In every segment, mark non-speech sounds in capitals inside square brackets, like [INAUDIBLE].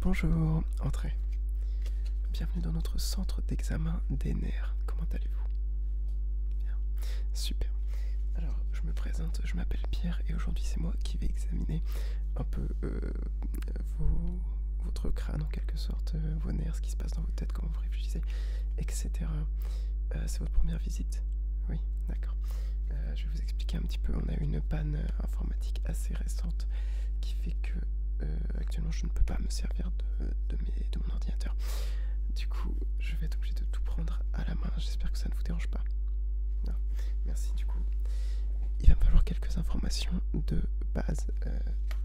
Bonjour, entrez. Bienvenue dans notre centre d'examen des nerfs. Comment allez-vous Bien, super. Alors, je me présente, je m'appelle Pierre et aujourd'hui c'est moi qui vais examiner un peu euh, votre crâne en quelque sorte, euh, vos nerfs, ce qui se passe dans vos têtes, comment vous réfléchissez, etc. Euh, c'est votre première visite Oui, d'accord. Euh, je vais vous expliquer un petit peu. On a eu une panne euh, informatique assez récente qui fait que euh, actuellement je ne peux pas me servir de, mes, de mon ordinateur. Du coup, je vais être obligé de tout prendre à la main. J'espère que ça ne vous dérange pas. Merci. Du coup, il va me falloir quelques informations de base,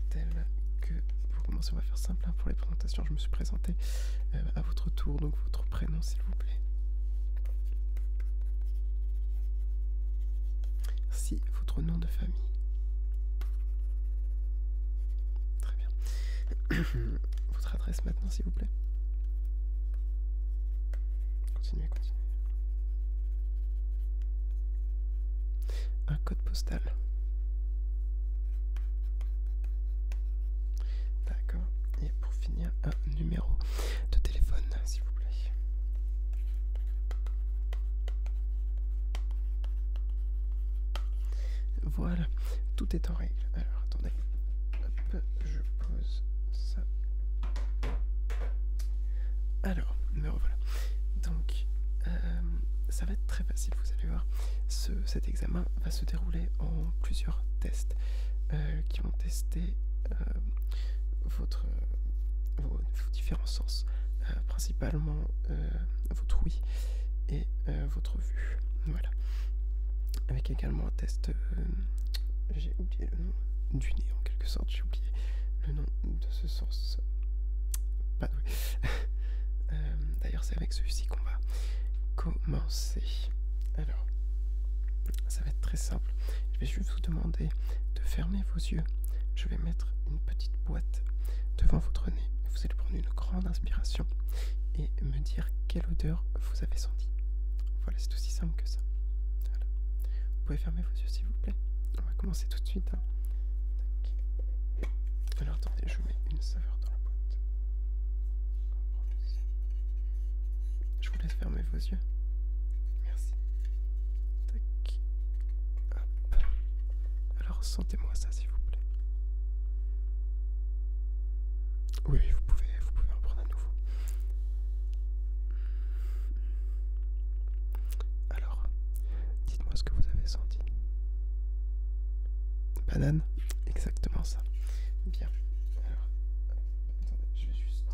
telles que pour commencer, on va faire simple hein, pour les présentations. Je me suis présenté à votre tour, donc votre prénom, s'il vous plaît Si votre nom de famille. Très bien. [COUGHS] votre adresse maintenant, s'il vous plaît. Continuez, continuez. Un code postal. D'accord pour finir un numéro de téléphone, s'il vous plaît. Voilà, tout est en règle. Alors attendez, je pose ça. Alors, me revoilà. Donc, euh, ça va être très facile, vous allez voir. Ce, cet examen va se dérouler en plusieurs tests euh, qui vont tester euh, votre, euh, vos, différents sens, euh, principalement euh, votre ouïe et votre vue. Voilà. Avec également un test, j'ai oublié le nom du nez en quelque sorte, j'ai oublié le nom de ce sens. Pas [LAUGHS] D'ailleurs, c'est avec celui-ci qu'on va commencer. Alors, ça va être très simple. Je vais juste vous demander de fermer vos yeux. Je vais mettre une petite boîte devant votre nez. Vous allez prendre une grande inspiration et me dire quelle odeur vous avez senti. Voilà, c'est aussi simple que ça. Vous pouvez fermer vos yeux s'il vous plaît. On va commencer tout de suite. Hein. Alors attendez, je vous mets une saveur dans la boîte. Je vous laisse fermer vos yeux. Merci. Alors sentez-moi ça s'il vous plaît. Oui, vous pouvez, vous pouvez en prendre à nouveau. Alors, dites-moi ce que vous avez senti. Banane Exactement ça. Bien. Alors, Attendez, je vais juste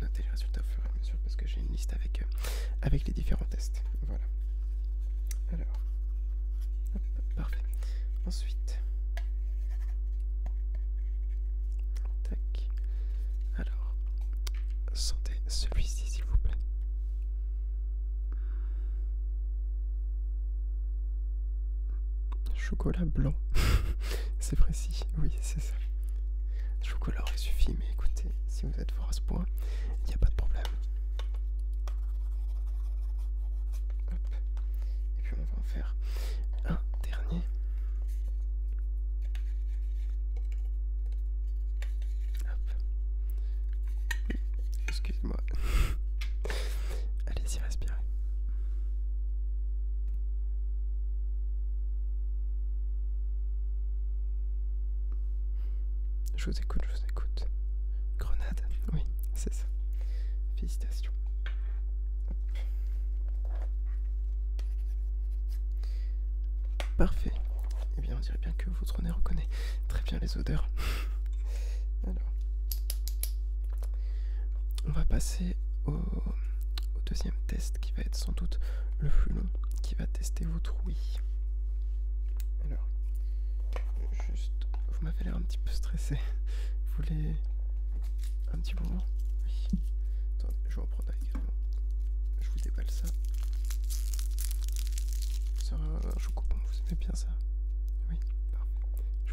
noter les résultats au fur et à mesure parce que j'ai une liste avec, euh, avec les différents tests. Voilà. Alors, parfait. Ensuite, tac. Alors, sentez celui-ci s'il vous plaît. Chocolat blanc. [LAUGHS] c'est précis, oui, c'est ça. Chocolat aurait suffit, mais écoutez, si vous êtes fort à ce point, il n'y a pas de problème. Et puis on va en faire un dernier. excusez moi [LAUGHS] Allez-y, respirez. Je vous écoute, je vous écoute. Grenade, oui, c'est ça. Félicitations. Parfait. Eh bien, on dirait bien que votre nez reconnaît très bien les odeurs. [LAUGHS] Alors. On va passer au, deuxième test qui va être sans doute le plus long, qui va tester votre oui. Alors, juste, vous m'avez l'air un petit peu stressé. Vous voulez un petit moment Oui. Attendez, je vais en également. Je vous déballe ça. Ça, je vous coupe, vous aimez bien ça Oui, parfait. Je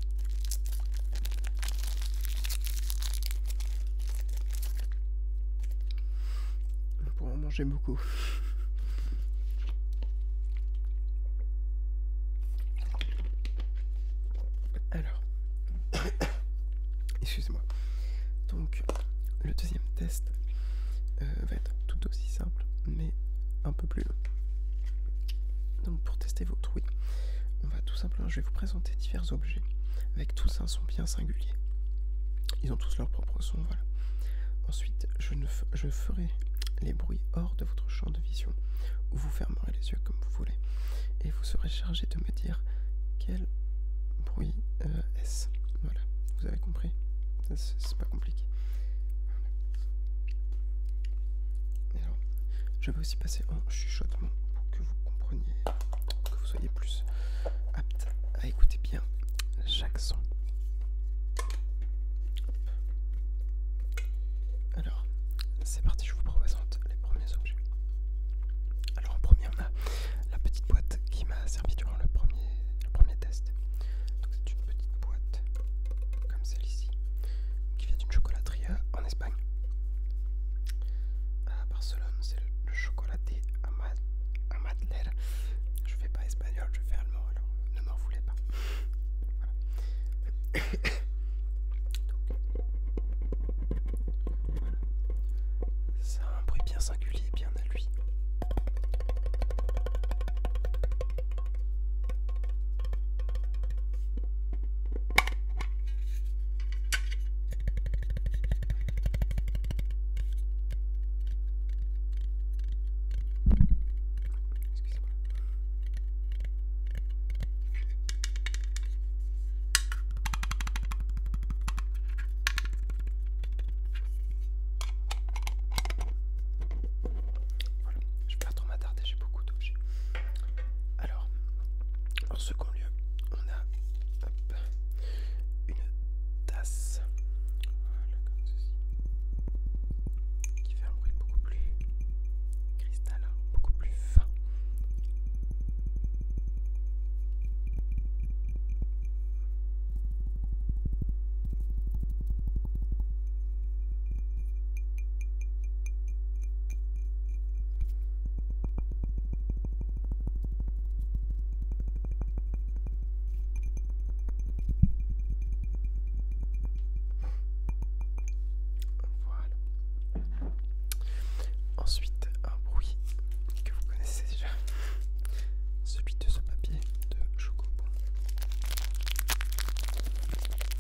Pour en manger beaucoup. Alors, [COUGHS] excusez-moi. Donc, le deuxième test euh, va être tout aussi simple, mais un peu plus long Donc pour tester votre oui, on va tout simplement, je vais vous présenter divers objets avec tous un son bien singulier. Ils ont tous leur propre son, voilà. Ensuite, je, ne ferai les bruits hors de votre champ de vision, vous fermerez les yeux comme vous voulez, et vous serez chargé de me dire quel bruit euh, est-ce. Voilà, vous avez compris C'est pas compliqué je vais aussi passer en chuchotement pour que vous compreniez, pour que vous soyez plus apte à écouter bien chaque son. Alors, c'est parti, je vous présente les premiers objets. Alors en premier on a la petite boîte qui m'a servi durant le premier, le premier test. c'est une petite boîte comme celle-ci qui vient d'une chocolat en Espagne. À Barcelone, c'est le, chocolaté à Madeleine. Je fais pas espagnol, je fais allemand, alors euh, ne m'en voulez pas. Ça a un bruit bien singulier, bien à lui je vais pas trop m'attarder, j'ai beaucoup alors, en second lieu, on a une tasse qui fait un bruit beaucoup plus cristallin, beaucoup plus fin. Voilà. Ensuite, un bruit que vous connaissez déjà, celui de ce papier de chocobon.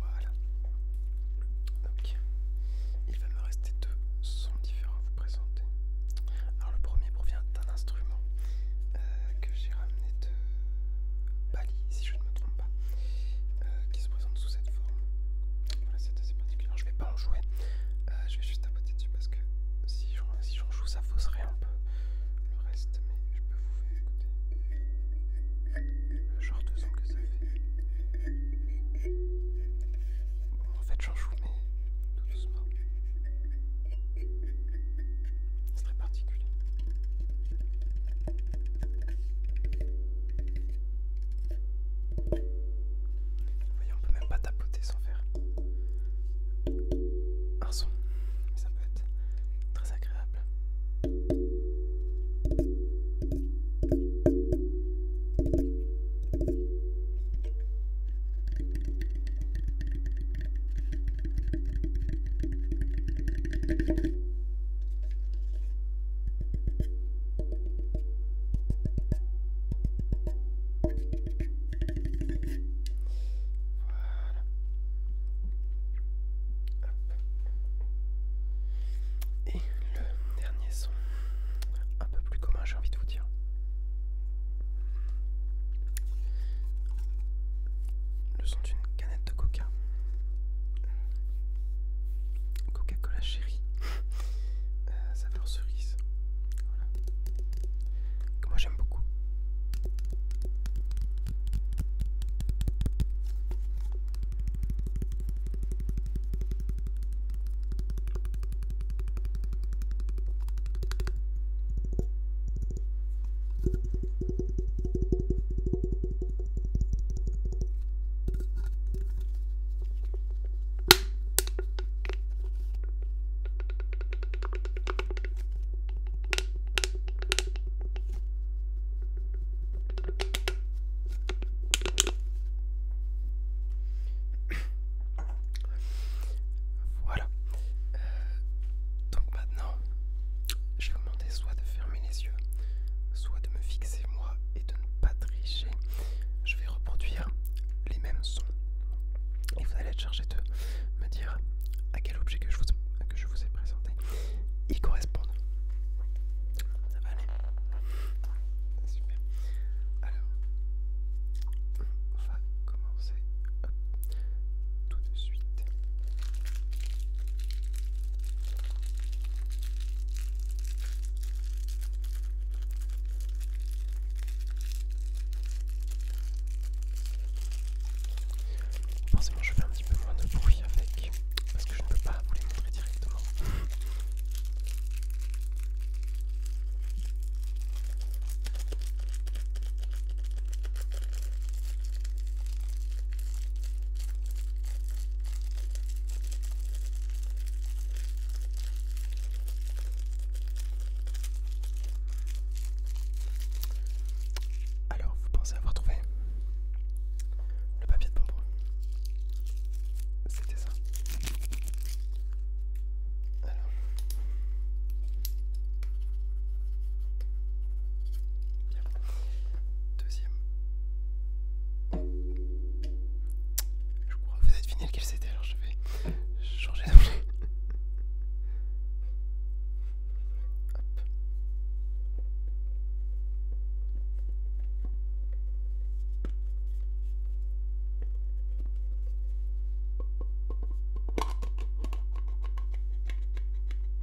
Voilà. Ok, il va me rester deux sons différents à vous présenter. Alors, le premier provient d'un instrument euh, que j'ai ramené de Bali, si je ne me trompe euh, qui se présente sous cette forme. Voilà, c'est assez particulier. je vais pas en jouer, euh, je vais juste tapoter dessus parce que si j'en joue, ça fausserait un peu le reste, mais je peux vous faire écouter le genre de son que ça fait. Bon, en fait, j'en joue, mais tout doucement. C'est très particulier. voyez, on peut même pas tapoter sans faire un son, ça peut être très agréable. Voilà. Et le dernier son, un peu plus commun, j'ai envie de vous dire. Le son d'une canette de coca. Coca-Cola chérie. [LAUGHS] Euh, saveur cerise. Que moi j'aime beaucoup. Voilà. Euh, donc maintenant, je commence soit de fermer les yeux, soit de me fixer moi et de ne pas tricher. Je vais reproduire les mêmes sons. Et vous allez être chargé de me dire à quel objet que je vous, que je vous ai présenté ils correspondent. Ça va aller Alors, on va commencer tout de suite. Forcément, je fais un petit peu moins de bruit avec parce que je ne peux pas vous les montrer directement. Alors, vous pensez avoir trouvé le papier de pombre? C'était ça. Deuxième. Je crois que vous avez deviné lequel c'était, alors je vais changer d'objet. [LAUGHS]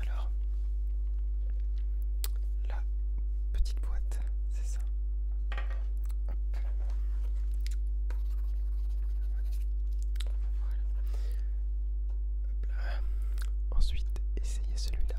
Alors, la petite boîte, c'est ça. Ensuite. Essayez celui-là.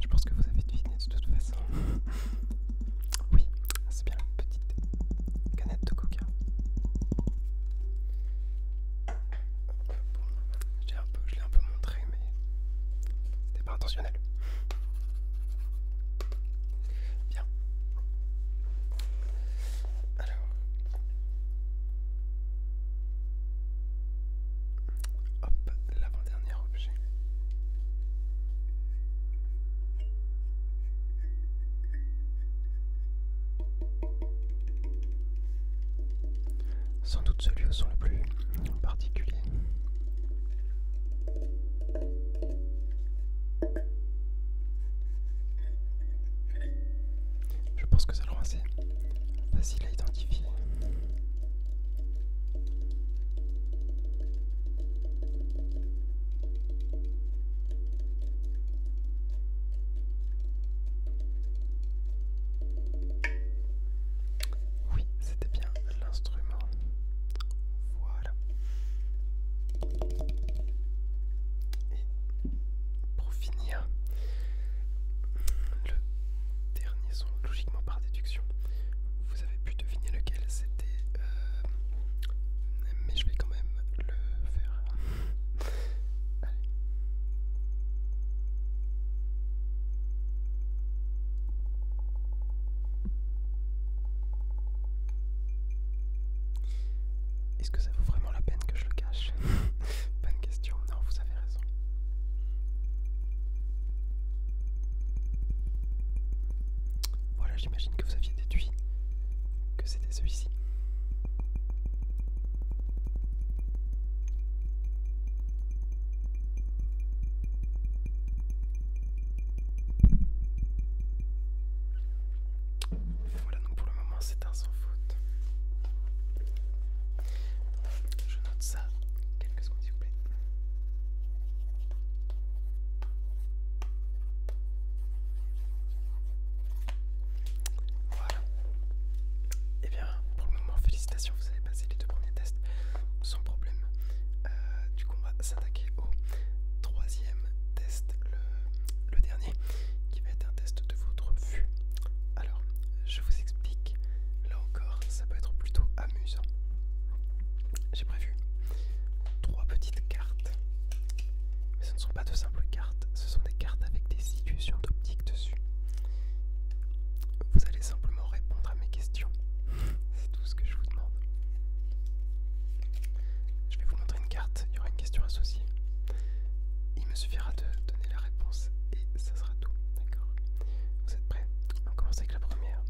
Je pense que vous avez deviné de toute façon. [LAUGHS] oui, c'est bien la petite canette de coca. je l'ai un peu montré, mais intentionnel. Bien. Alors. Hop, l'avant-dernier objet. Sans doute celui où sont le plus particulier. Je pense que ça le rend assez facile à identifier. Oui, c'était bien l'instrument. Voilà. Et pour finir, le dernier son, logiquement par déduction, vous avez pu deviner lequel c'était, euh, mais je vais quand même le faire. Allez. Est-ce que ça vaut vraiment la peine que je le cache Bonne [LAUGHS] question, non, vous avez raison. Voilà, j'imagine que vous aviez déduit que c'était celui-ci. Voilà, donc pour le moment, c'est un sans faute. Je note ça quelques secondes, s'il vous plaît. Voilà. Et eh bien, pour le moment, félicitations, vous avez passer passé les deux premiers tests sans problème. Euh, du coup, on va s'attaquer au troisième test, le, dernier, qui va être un test de votre vue. Alors, je vous explique. Là encore, ça peut être plutôt amusant. J'ai prévu trois petites cartes, mais ce ne sont pas de simples cartes, ce sont des cartes avec des situations petites dessus. Vous allez simplement répondre à mes questions. [LAUGHS] C'est tout ce que je vous demande. Je vais vous montrer une carte, il y aura une question associée. Il me suffira de donner la réponse et ça sera tout. D'accord Vous êtes prêts On commence avec la première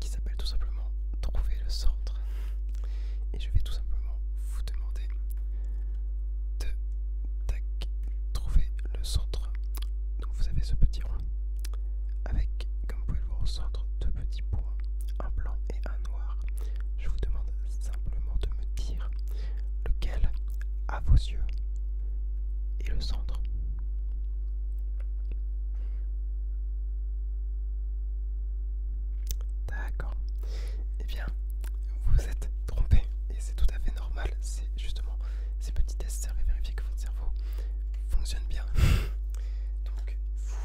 qui s'appelle tout simplement Trouver le centre. Et je vais tout simplement vous demander de trouver le centre donc vous avez ce petit rond avec, comme vous pouvez le voir au centre, deux petits points, un blanc et un noir. Je vous demande simplement de me dire lequel, à vos yeux, est le centre. D'accord. Eh bien, vous vous êtes trompé et c'est tout à fait normal, c'est justement ces petits tests servent à vérifier que votre cerveau fonctionne bien. [LAUGHS] Donc, vous,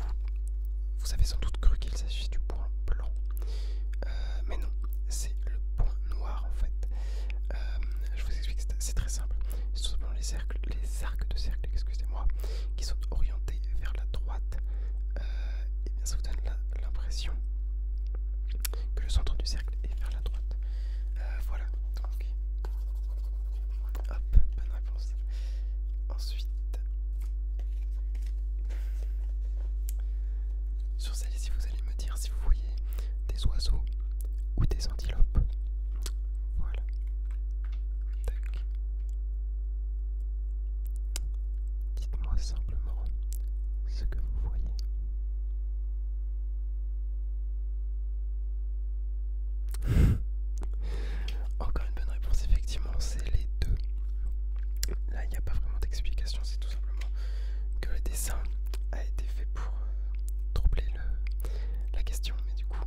vous avez sans doute cru qu'il s'agit du point blanc, euh, mais non, c'est le point noir en fait. Euh, je vous explique, c'est très simple. C'est tout simplement les, cercles, les arcs de cercle, excusez-moi, qui sont orientés vers la droite. Euh, et bien, ça vous donne l'impression que le centre du cercle est vers la droite. Euh, voilà, Hop, bonne réponse. Ensuite, sur celle-ci, vous allez me dire si vous voyez des oiseaux ou des antilopes. Voilà. Dites-moi simplement ce que vous voyez. [LAUGHS] Encore une bonne réponse, effectivement, c'est les deux. Là, il n'y a pas vraiment d'explication, c'est tout simplement que le dessin a été fait pour euh, troubler la question, mais du coup,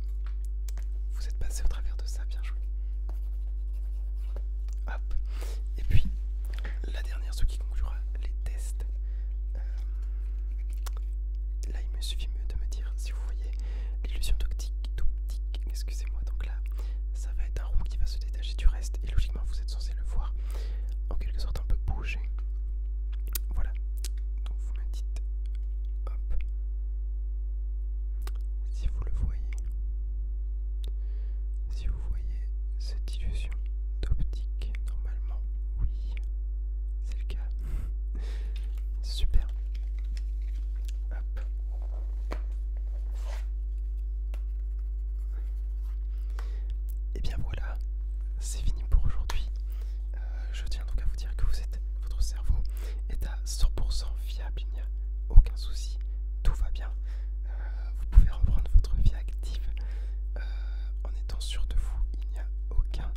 vous êtes passé au travers de ça, bien joué. Hop, et puis la dernière, ce qui conclura les tests. Euh, là, il me suffit mieux de me dire si vous voyez l'illusion d'optique, Optique, excusez-moi. Donc là, ça va être un rond qui va se détacher du reste et logiquement, vous êtes censé le voir en quelque sorte un peu bouger. Voilà. Donc vous me dites, hop, si vous le voyez, vous voyez cette illusion d'optique, normalement, oui, c'est le cas. [LAUGHS] Super. Et eh bien voilà, c'est fini pour aujourd'hui. Euh, je tiens donc à vous dire que vous êtes, votre cerveau est à 100% fiable, il n'y a aucun souci, tout va bien. Euh, vous pouvez reprendre votre vie active euh, en étant sûr de vous. Il n'y a aucun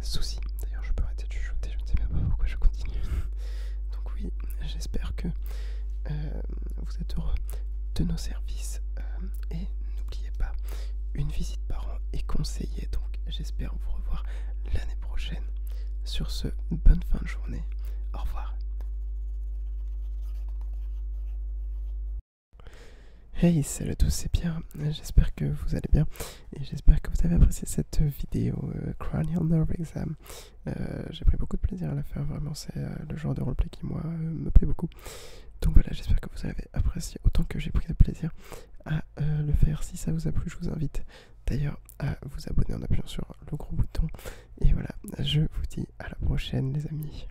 souci. D'ailleurs, je peux arrêter de chuchoter, je ne sais même pas pourquoi je continue. Donc, oui, j'espère que euh, vous êtes heureux de nos services. Euh, et n'oubliez pas, une visite par an est conseillée. Donc, j'espère vous revoir l'année prochaine. Sur ce, bonne fin de journée. Au revoir. Hey, salut à tous, c'est Pierre. J'espère que vous allez bien et j'espère que vous avez apprécié cette vidéo euh, Cranial Nerve Exam. Euh, j'ai pris beaucoup de plaisir à la faire, vraiment, c'est euh, le genre de roleplay qui, moi, me plaît beaucoup. Donc voilà, j'espère que vous avez apprécié autant que j'ai pris de plaisir à le faire. Si ça vous a plu, je vous invite d'ailleurs à vous abonner en appuyant sur le gros bouton. Et voilà, je vous dis à la prochaine les amis.